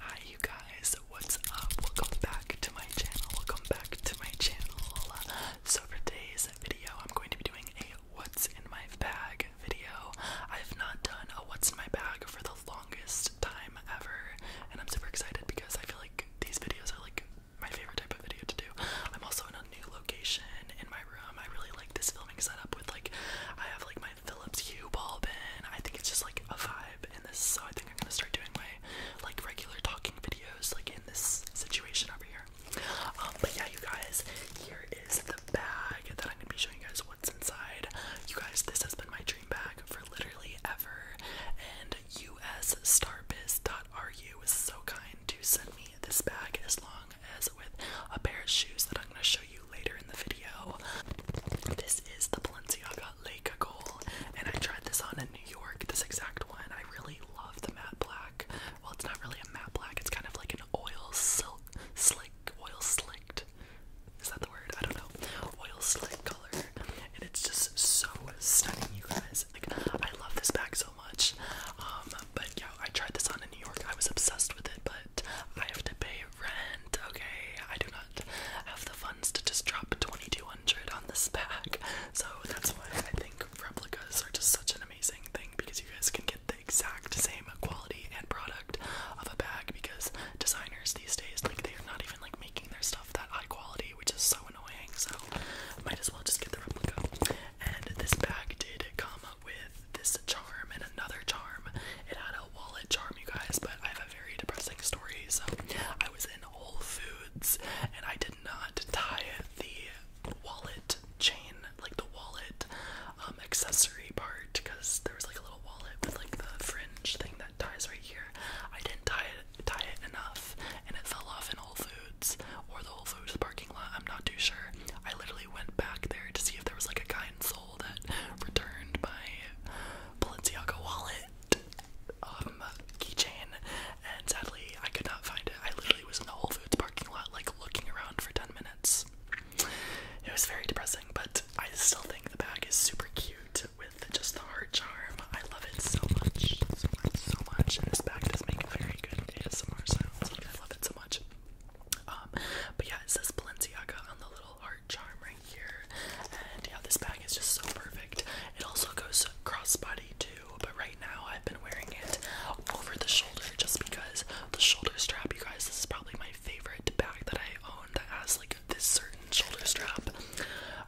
Hi you guys, what's up? Welcome back to my channel. Welcome back to my channel. So for today's video, I'm going to be doing a what's in my bag video. I've not done a what's in my bag for the longest time ever, and I'm super excited because I feel like these videos are like my favorite type of video to do. I'm also in a new location in my room. I really like this filming setup with like I have like my Philips Hue ball bin. I think it's just like a vibe in this, so I think I'm gonna start doing my like regular talking videos like in this situation over here. Um, but yeah, you guys, here is the bag that I'm gonna be showing you guys what's inside. You guys, this has been my dream bag for literally ever, and US USStarbiz.ru was so kind to send me this bag as long as with a pair of shoes that I'm gonna show you later in the video. This is the Balenciaga Lake Goal, and I tried this on in New York, this exact one. I really love the matte black. Well, it's not really a matte black, it's kind of like an oil silk, slick, oil slicked. Is that the word? I don't know. Oil slick color. And it's just so stunning, you guys. Like, I love this bag so much. Um, but yeah, I tried this on in New York. I was obsessed with it, but I have to pay rent, okay? I do not have the funds to just drop 2200 on this pack. So that's why I think replicas are just such an amazing thing because you guys can get the exact same quality and product of a bag because designers these days, like, they are not even like making their stuff that high quality, which is so annoying. So, might as well just get the replica. And this bag did come with this charm and another charm. It had a wallet charm, you guys, but I have a very depressing story. So I was in Whole Foods and I did not tie the wallet chain, like the wallet um, accessory part, because there was like a little wallet with like the fringe thing that ties right here. I didn't tie it, tie it enough, and it fell off in Whole Foods or the Whole Foods parking lot. I'm not too sure. I literally went back there to see if there was like a guy in Seoul that returned my Balenciaga wallet, keychain, and sadly I could not find it. I literally was in the Whole Foods parking lot, like looking around for 10 minutes. It was very depressing, but I still think the bag is super cute with just the heart charm. I love it so much, so much, so much. this bag does make very good ASMR sounds. I love it so much. Um, but yeah, it says Balenciaga on the little heart charm right here. And yeah, this bag is just so perfect. It also goes crossbody too, but right now I've been wearing it over the shoulder just because the shoulder strap, you guys, this is probably my favorite bag that I own that has like this certain shoulder strap.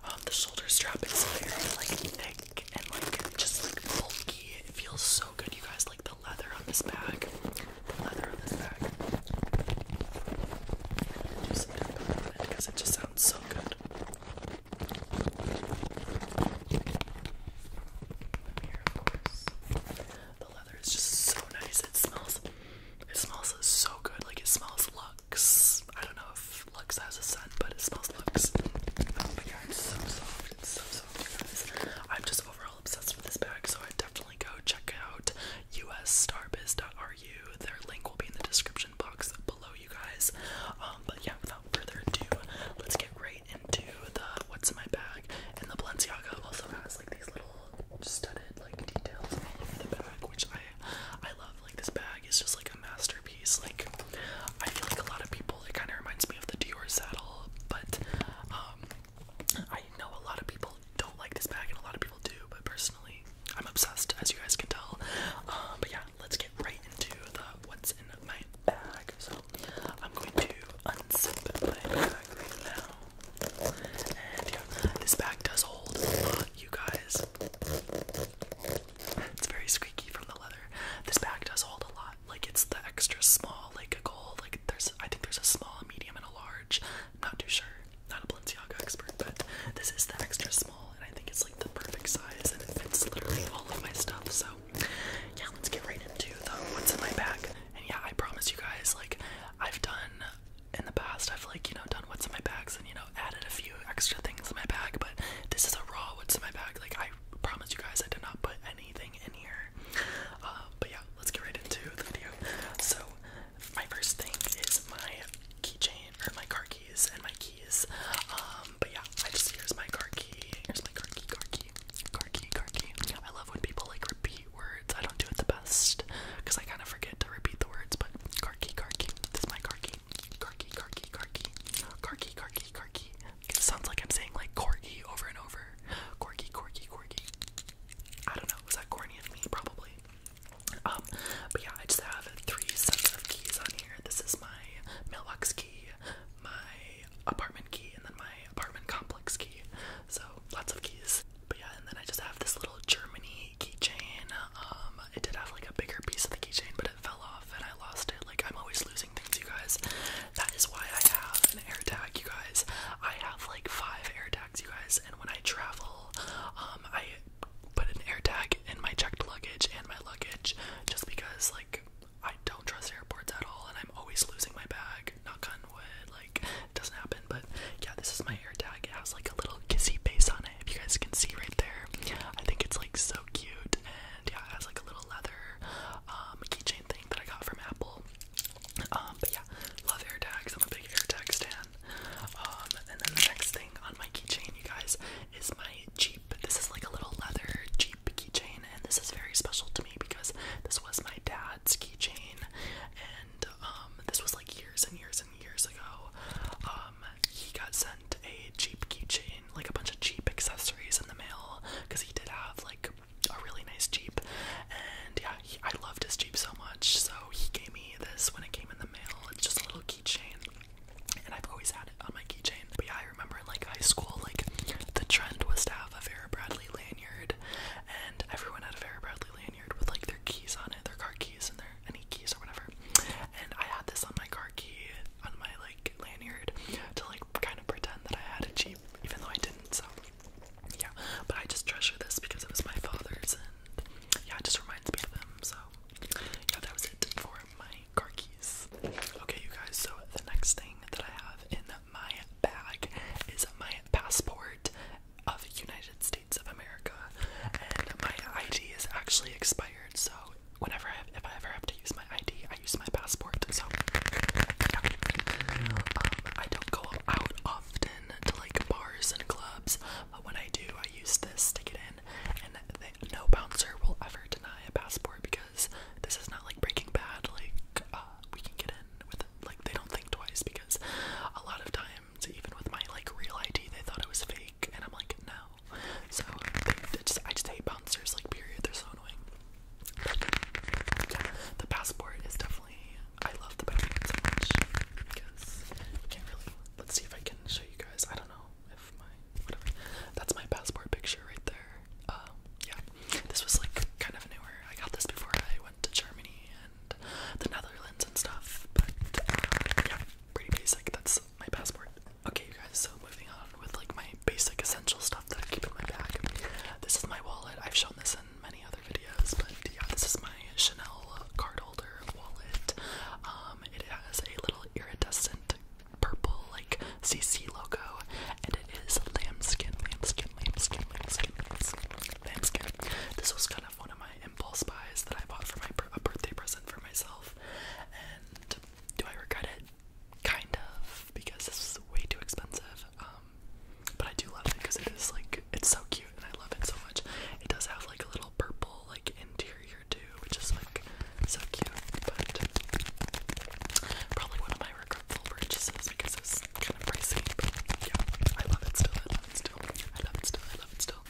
Um, the shoulder strap is very like thick and like just like bulky. It feels so good, you guys like the leather on this bag. The leather on this bag. because it just sounds so good. The leather is just so nice. It smells. It smells so good. Like it smells Lux. I don't know if Lux has a scent, but it smells Lux. But yeah, it's so soft. It's so soft, guys. I'm just over obsessed with this bag, so I definitely go check out ustarbiz.ru. Their link will be in the description box below, you guys. Um, but yeah, without further ado, let's get right into the what's in my bag. And the Balenciaga also has like these little studded like details all over the bag, which I I love. Like this bag is just like a masterpiece. Like I feel like a lot of people, it kind of reminds me of the Dior saddle, but um, I know a lot of people don't like this bag, and a lot of people do, but personally, I'm obsessed, as you guys can tell. Um, but yeah, let's get right into the what's in my bag. So I'm going to unzip my bag right now, and yeah, this bag does hold a lot, you guys. It's very squeaky from the leather. This bag does hold a lot. Like it's the extra small, like a. Like there's, I think there's a small, medium, and a large. I'm not too sure. Not a Balenciaga expert, but this is the extra small, and I think it's like the perfect size, and it fits literally all of my stuff. So yeah, let's get right into the what's in my bag. And yeah, I promise you guys, like I've done in the past, I've like you know done what's in my bags and you know added a few extra things in my bag, but this is a raw what's in my bag. Like I promise you guys, I did not put anything in here. Uh, but yeah, let's get right into the video. So, my first thing is my keychain, or my car keys, and my keys. Um, but yeah, I just, here's my car key, here's my car key, car key, car key, car key. I love when people, like, repeat words. I don't do it the best, because I kind of forget to repeat the words, but car key, car key, this is my car key, car key, car key, car key, car key, car key, car key. It sounds like I'm saying, like, corgi over and over. Corgi, corgi, corgi. I don't know, was that corny of me? Probably. Um, but yeah, I just have three sets of keys on here. This is my mailbox key, my apartment key, and then my apartment complex key. So lots of keys. But yeah, and then I just have this little Germany keychain. Um, it did have like a bigger piece of the keychain, but it fell off and I lost it. Like I'm always losing things, you guys. That is why I have an air tag, you guys. I have like five air tags, you guys, and when I travel, um, I put an air tag in my checked luggage and my luggage just because, like, I don't trust airports at all, and I'm always losing my bag. Knock on wood, like, it doesn't happen, but yeah, this is my air tag. It has like a little kissy base on it, if you guys can see right there. I think it's like so cute, and yeah, it has like a little leather um, keychain thing that I got from Apple. Um, but yeah, love air tags. I'm a big air tag stan. Um, and then the next thing on my keychain, you guys, is my Jeep. This is like a little leather Jeep keychain, and this is very special to me because this was my dad's keychain, and um, this was like years and years and years ago. he got sent a Jeep keychain, like a bunch of Jeep accessories in the mail, because he did have like a really nice Jeep. And yeah, I loved his Jeep so much, so he gave me this when it came in the mail. It's just a little keychain, and I've always had it on my keychain. But yeah, I remember in like high school, like the trend was to have a Vera Bradley lanyard, and everyone had a Vera Bradley lanyard with like their keys on it, their car keys and their any keys or whatever. And I had this on my car key, on my like lanyard, to like kind of pretend that I had a Jeep even though I didn't, so yeah. But I just treasure this because it was my father's and yeah, it just reminds me of them. So yeah, that was it for my car keys. Okay you guys, so the next thing that I have in my bag is my passport of United States of America. And my ID is actually expired, so whenever I have, if I ever have to use my ID, I use my passport. So yeah. Um, I don't go out often to like bars and clubs, but when I do, I use this to get in, and no bouncer will ever deny a passport because this is not like Breaking Bad. Like uh, we can get in with like they don't think twice because a lot of times even with my like real ID, they thought it was fake, and I'm like no. So I just hate bouncers. Like period, they're so annoying. the passport is definitely I love the Batman so much Let's see if I can show you guys. I don't know if my whatever. That's my passport picture right there. Um, yeah, this was like kind of newer. I got this before I went to Germany and the Netherlands and stuff. But uh, yeah, pretty basic. That's my passport. Okay, you guys. So moving on with like my basic essential stuff that I keep in my bag. This is my wallet. I've shown this in many other videos, but yeah, this is my Chanel card wallet. Um, it has a little iridescent purple like CC logo, and it is lambskin, lambskin, lambskin, lambskin, lambskin. lambskin. This was kind of one of my impulse buys that I bought for my a birthday present for myself. And do I regret it? Kind of, because this was way too expensive. Um, but I do love it because it is like it's so cute and I love it so much. It does have like a little purple like interior too, which is like so cute. But probably one of my regretful purchases because it's kind of pricey. But yeah, I love it still. I love it still. I love it still. I love it still.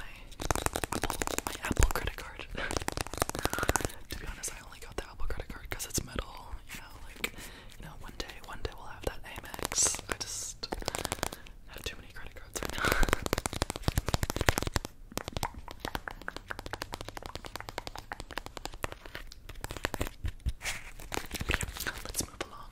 my Apple, my Apple credit card. to be honest, I only got the Apple credit card because it's metal. You know, like you know, one day, one day we'll have that Amex. I just have too many credit cards right now. Let's move along.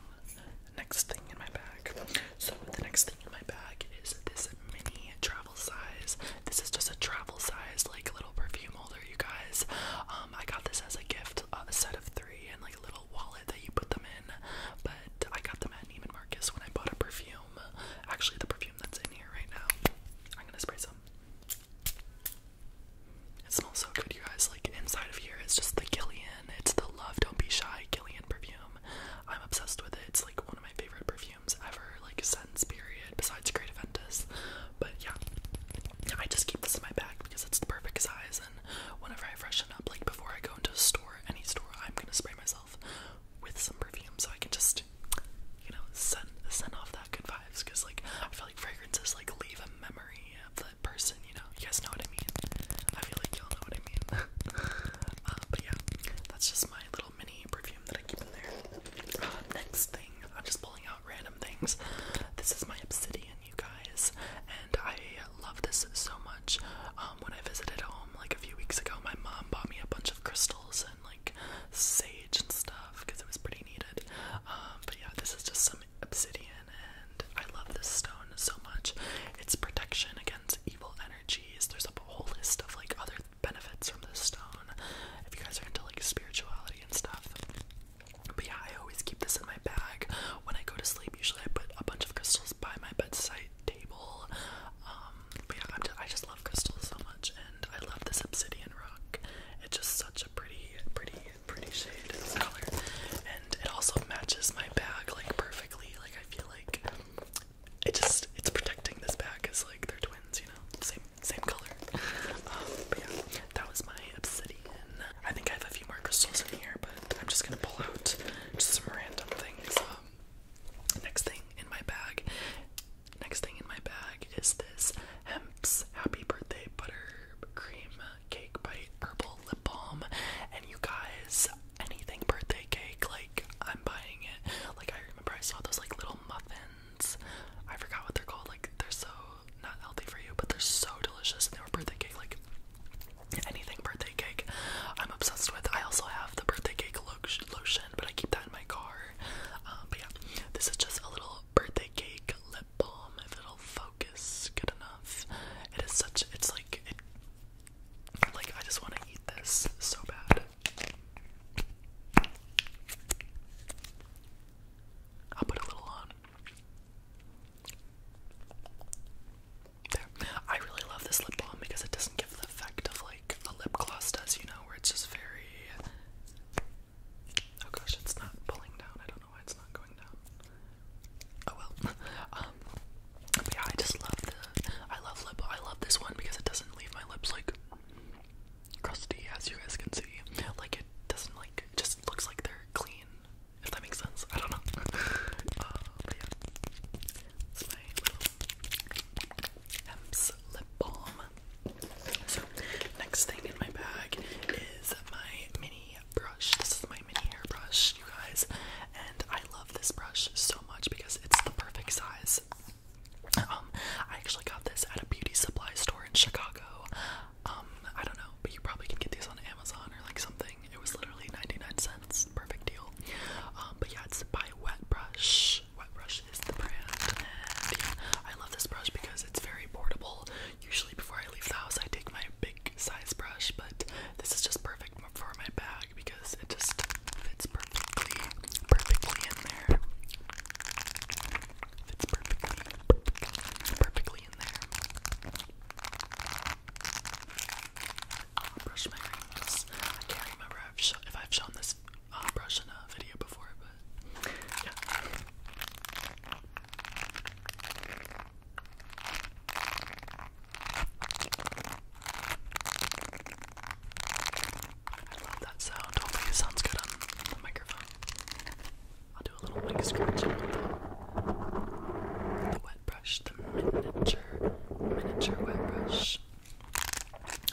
Next thing in my bag. So the next thing in my bag is this mini travel size. This is just a travel size, like little perfume i you guys. Um, I got this as a gift, a set of three, and like a little wallet that you put them in. But I got them at Neiman Marcus when I bought a perfume. Actually, the perfume that's in here right now. I'm gonna spray some. It smells so good, you guys. Like inside of here, it's just the Gillian. It's the Love Don't Be Shy Gillian perfume. I'm obsessed with it. It's like one of my favorite perfumes ever, like since period. Besides Great Aventus, but yeah, I just keep this in my bag because it's the perfect size. And whenever I freshen up, like before I go into a store, any store, I'm gonna spray myself with some perfume so I can just, you know, send send off that good vibes. Cause like I feel like fragrances like leave a memory of the person. You know, you guys know what I mean. I feel like y'all know what I mean. Uh, but yeah, that's just my little mini perfume that I keep in there. Uh, next thing, I'm just pulling out random things. This is my obsidian, you guys, and I love this so much. Um, when I visited home like a few weeks ago, my mom bought me a bunch of crystals and like sage and stuff because it was pretty needed. Um, but yeah, this is just some obsidian, and I love this stone so much. It's protection against evil energies. There's a whole list of like other benefits from this stone if you guys are into like spirituality and stuff. But yeah, I always keep this in my bag when I go to sleep. Usually, I put a bunch of crystals by my bedside table. Um, but yeah, i just, love crystals so much, and I love this obsidian rock. It's just such a pretty, pretty, pretty shade and color, and it also matches my bag like perfectly. Like I feel like it just it's protecting this bag because like they're twins, you know, same same color. Um, but yeah, that was my obsidian. I think I have a few more crystals in here, but I'm just gonna pull out just some random things. Um, next thing in my bag, next thing in my bag is this Hemp's Happy Birthday Butter Cream Cake Bite Herbal Lip Balm. And you guys, anything birthday cake, like I'm buying it. Like I remember I saw those like little muffins I forgot what they're called. Like they're so not healthy for you, but they're so delicious. And they were birthday cake. Like anything birthday cake, I'm obsessed with. I also have the birthday cake lotion, but I keep that in my car. Um, but yeah, this is just a little birthday cake lip balm. If it'll focus good enough, it is such. It's like Like I just want to eat this so bad. I'll put a little on. I really love this lip balm because it doesn't give the effect of like a lip gloss does, you know, where it's just very. Oh gosh, it's not pulling down. I don't know why it's not going down. Oh well. Um, yeah, I just love the. I love lip. I love this one because it doesn't leave my lips like crusty as you guys can see. Like it doesn't like just looks like they're clean. If that makes sense. I don't know. Uh, it's my Hemp's lip balm. So next thing in my bag is my mini brush. This is my mini hairbrush, you guys, and I love this brush so much because it's the perfect size. Um, I actually got this at a beauty supply store in Chicago. Um, I don't know, but you probably can get these on Amazon or like something. It was literally 99 cents. Perfect deal. Um, but yeah, it's by Wet Brush. Wet Brush is the brand. And yeah, I love this brush because it's very portable. Usually before I leave the house, I take my big size brush, but this is just perfect for my bag because it just fits perfectly, perfectly in there fits perfectly, perfectly, perfectly in there. brush my rings. I can't remember if I've shown this uh, brush in a video before, but yeah. I love that sound. Hopefully, it sounds good on the microphone. I'll do a little wing scratch with the, the wet brush, the miniature, miniature wet brush.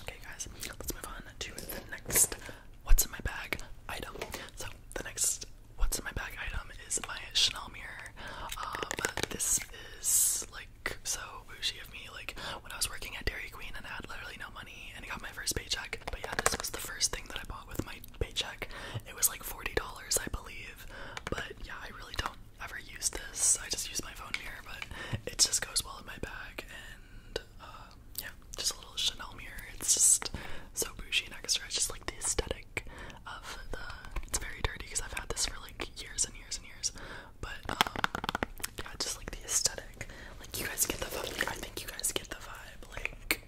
Okay, guys, let's move on to the next what's in my bag item. So, the next what's in my bag item is my Chanel mirror. Um, this is like so bougie of me. Like, when I was working at Dairy Queen and I had literally no money and I got my first paycheck, but yeah, this was the first thing that I bought with my paycheck. It was like $40, I believe. But yeah, I really don't ever use this. I just use my phone here, but it just goes well in my bag. And uh, yeah, just a little Chanel mirror. It's just so bougie and extra. It's just like the aesthetic of the. It's very dirty because I've had this for like years and years and years. But um, yeah, just like the aesthetic. Like you guys get the vibe. I think you guys get the vibe. Like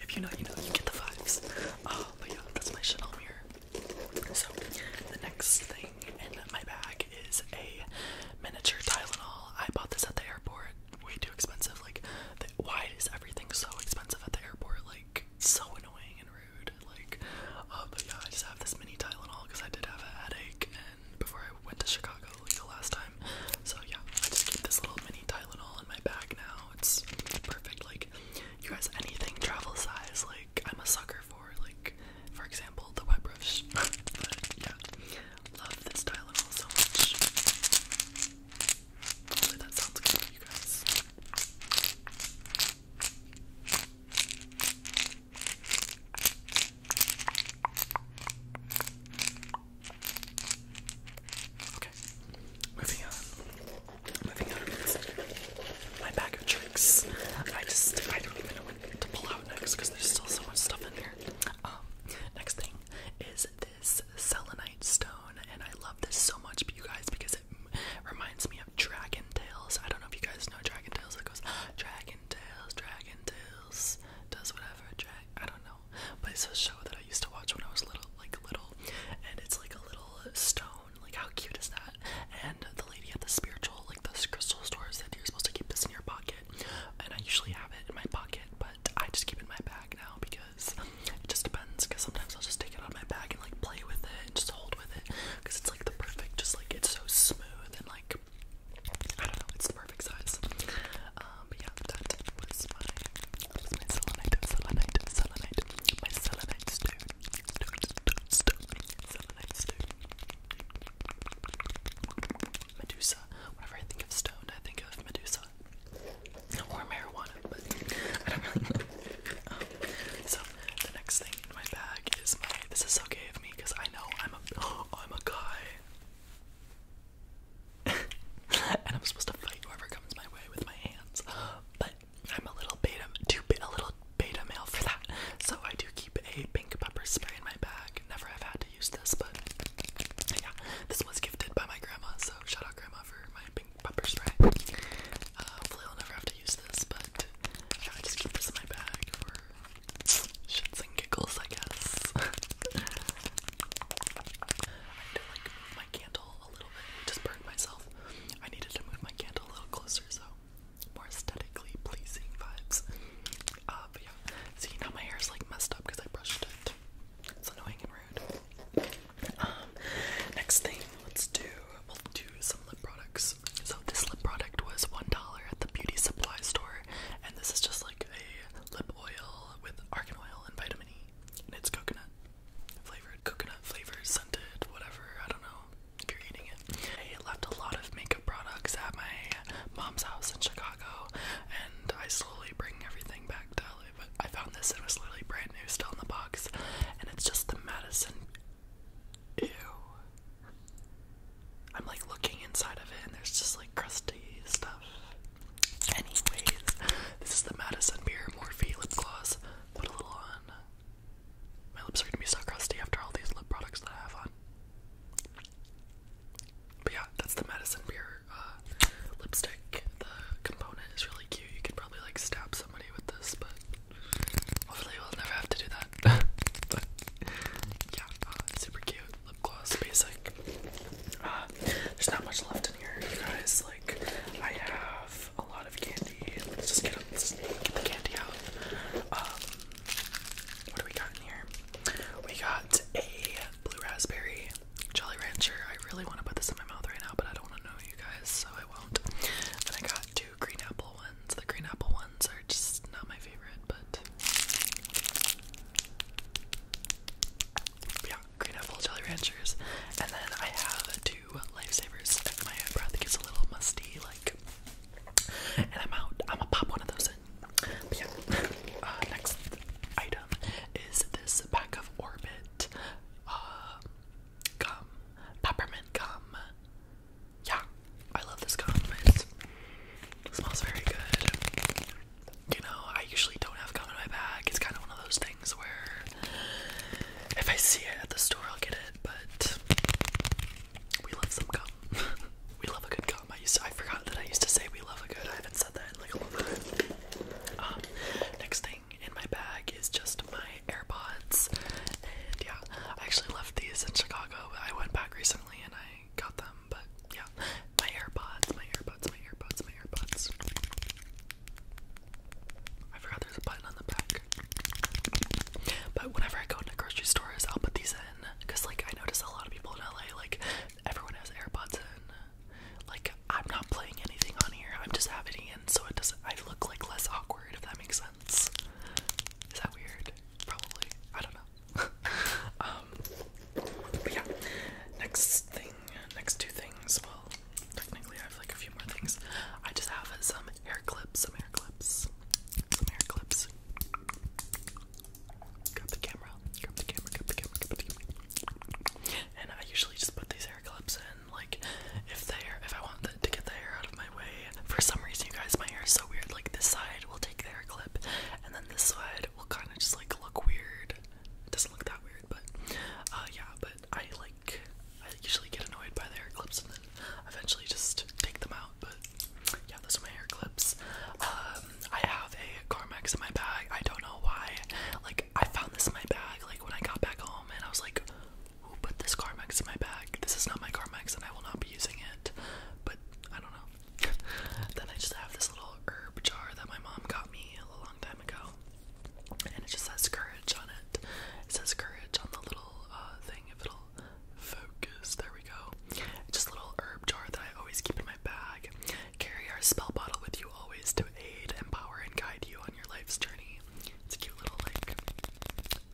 if you know, you know, you get the vibes. Oh, but yeah, that's my Chanel mirror. So, the next thing in my bag is a miniature Tylenol. I bought this at the airport. Way too expensive. Like, why is everything so expensive at the airport? Like, so annoying and rude. Like, uh, but yeah, I just have this mini Tylenol because I did have a headache, and before I went to Chicago like the last time, so yeah, I just keep this little mini Tylenol in my bag now. It's perfect. Like you guys, anything travel size, like I'm a sucker for. Like for example, the wet brush. but yeah, love this Tylenol so much. Hopefully that sounds good for you guys. Okay, moving on. Moving on my bag of tricks. I just, I don't even know what to pull out next because there's still so much stuff in here. Um, next thing is this selenite stone, and I love this so much, but you guys, because it reminds me of dragon tails. I don't know if you guys know dragon tails. It goes dragon tails, dragon tails, does whatever. Dra I don't know but it's a show that I used to watch when I was little, like little, and it's like a little stone. Like how cute is that? And the lady at the spiritual, like the crystal store, said you're supposed to keep this in your pocket, and I usually have it in my pocket, but I just keep it in my bag now because it just depends. Because sometimes I'll just take it out of my bag and like play with it and just hold with it because it's like the perfect, just like it's so smooth and like. I don't know, it's the perfect size. Um, but um, yeah, that was my, was my selenite, selenite, selenite, my selenite stone, stone, stone, stone, selenite Medusa. Whenever I think of stone, I think of Medusa. Or marijuana, but I don't really know. Um, so the next thing in my bag is my. This is so gay of me because I know I'm a. I'm a guy. and I'm supposed to fight whoever comes my way with my hands. But I'm a little beta, too a little beta male for that. So I do keep a pink pepper spray in my bag. Never have had to use this, but yeah, this was gifted by my grandma. So shout out grandma for my pink pepper spray. Uh, hopefully I'll never have to use this, but yeah, I just keep this in my bag for shits and giggles, I guess. I had to like move my candle a little bit. just burned myself. I needed to move my candle a little closer so more aesthetically pleasing vibes. Uh, but yeah, see now my hair's like messed up because I brushed it. It's annoying and rude. Um, next thing, let's do we'll do some lip products. So this lip product was one dollar at the beauty supply store, and this is just like a lip oil with argan oil and vitamin E, and it's coconut flavored, coconut flavored, scented, whatever. I don't know if you're eating it. I left a lot of makeup products at my mom's house in Chicago, and I slowly bring everything back to LA. But I found this; and it was literally brand new, still in the box, and it's just the Madison. Ew. I'm like looking inside of it, and there's just like crusty stuff. Anyways, this is the Madison Beer Morphe lip gloss. Put a little on. My lips are gonna be so crusty after all these lip products that I have on. But yeah, that's the Madison Beer uh, lipstick. The component is really cute. You could probably like stab somebody with this, but hopefully we'll never have to do that. but yeah, uh, super cute lip gloss, basic. Uh, there's not much left in here, you guys. Like, I have a lot of candy. Let's just get, let's get the candy out. Um, what do we got in here? We got a blue raspberry Jolly Rancher. I really want to put this in my mouth right now, but I don't want to know you guys, so I won't. And I got two green apple ones. The green apple ones are just not my favorite, but yeah, green apple jelly ranchers. And then I have two lifesavers my breath gets a little musty, like and I'm out. I'm gonna pop one of those in. yeah. Uh, next item is this pack of Orbit uh, gum. Peppermint gum. Yeah, I love this gum. It smells very good you know, I usually don't have gum in my bag. It's kind of one of those things where if I see it at the store, I'll get it. But we love some gum. we love a good gum. I used I forgot that I used to say we love a good. I haven't said that in like a long time. Um, next thing in my bag is just my AirPods, and yeah, I actually left these in Chicago. I went back recently, and I got them, but yeah. My AirPods, my AirPods, my AirPods, my AirPods. I forgot there's a button on the back. But whenever I go into grocery stores, I'll put these in. Because, like, I notice a lot of people in LA, like, everyone has AirPods in. Like, I'm not playing anything on here, I'm just having it in, so it doesn't, I look like less awkward, if that makes sense. Is that weird? Probably. I don't know. um, but yeah, next thing, next two things. Well, technically, I have like a few more things. I just have some hair clips, some hair clips, some hair clips. Grab the camera, grab the camera, grab the camera, And I usually just put these hair clips in, like if they're if I want the, to get the hair out of my way. For some reason, you guys, my hair is so weird. Like this side will take the hair clip, and then this side will kind of just like look weird. It doesn't look that weird, but uh, yeah. But I like I usually get annoyed by the hair clips and then eventually just take them out. But yeah, those are my hair clips. Um, I have a Carmex in my bag. I don't know why. Like I found this in my bag like when I got back home, and I was like, "Who put this Carmex in my bag? This is not my Carmex, and I will not be using it." But I don't know then I just have this little herb jar that my mom got me a long time ago. And it just says courage on it. It says courage on the little uh, thing, if it'll focus. There we go. Just a little herb jar that I always keep in my bag. Carry our spell bottle with you always to aid, empower, and guide you on your life's journey. It's a cute little, like,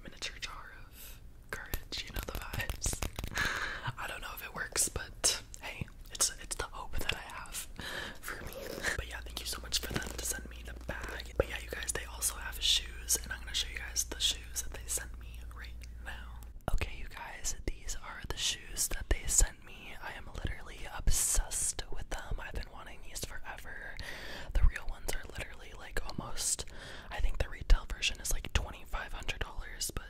miniature jar of courage. You know the vibes. I don't know if it works, but hey, it's it's the hope that I have for me. But yeah, thank you so much for them to send me the bag. But yeah, you guys, they also have shoes, and I'm gonna show you guys the shoes that they sent me right now. Okay, you guys, these are the shoes that they sent me. I am literally obsessed with them. I've been wanting these forever. The real ones are literally like almost. I think the retail version is like $2,500, but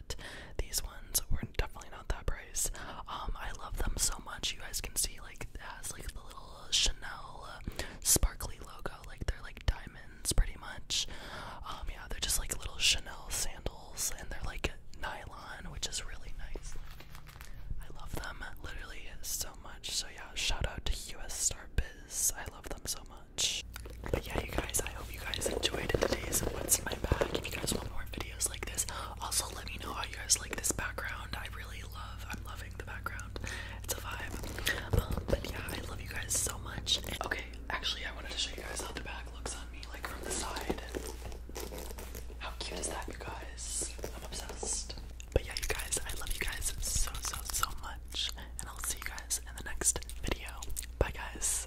these ones were definitely not that price. Um, I love them so much. You guys can see like it has like the little Chanel uh, sparkly logo, like they're like diamonds pretty much. Um, yeah, they're just like little Chanel sandals, and they're like nylon, which is really nice. Like, I love them literally so much. So yeah, shout out to US Star Biz. I love them so much. But yeah, you guys, I hope you guys enjoyed today's What's in My Bag. If you guys want more videos like this, also let me know how you guys like this background. I really love, I'm loving the background. It's a vibe. Um, but yeah, I love you guys so much. And, okay, actually, I wanted to show you guys how the bag looks on me, like from the side. How cute is that, you guys? I'm obsessed. But yeah, you guys, I love you guys so, so, so much. And I'll see you guys in the next video. Bye, guys.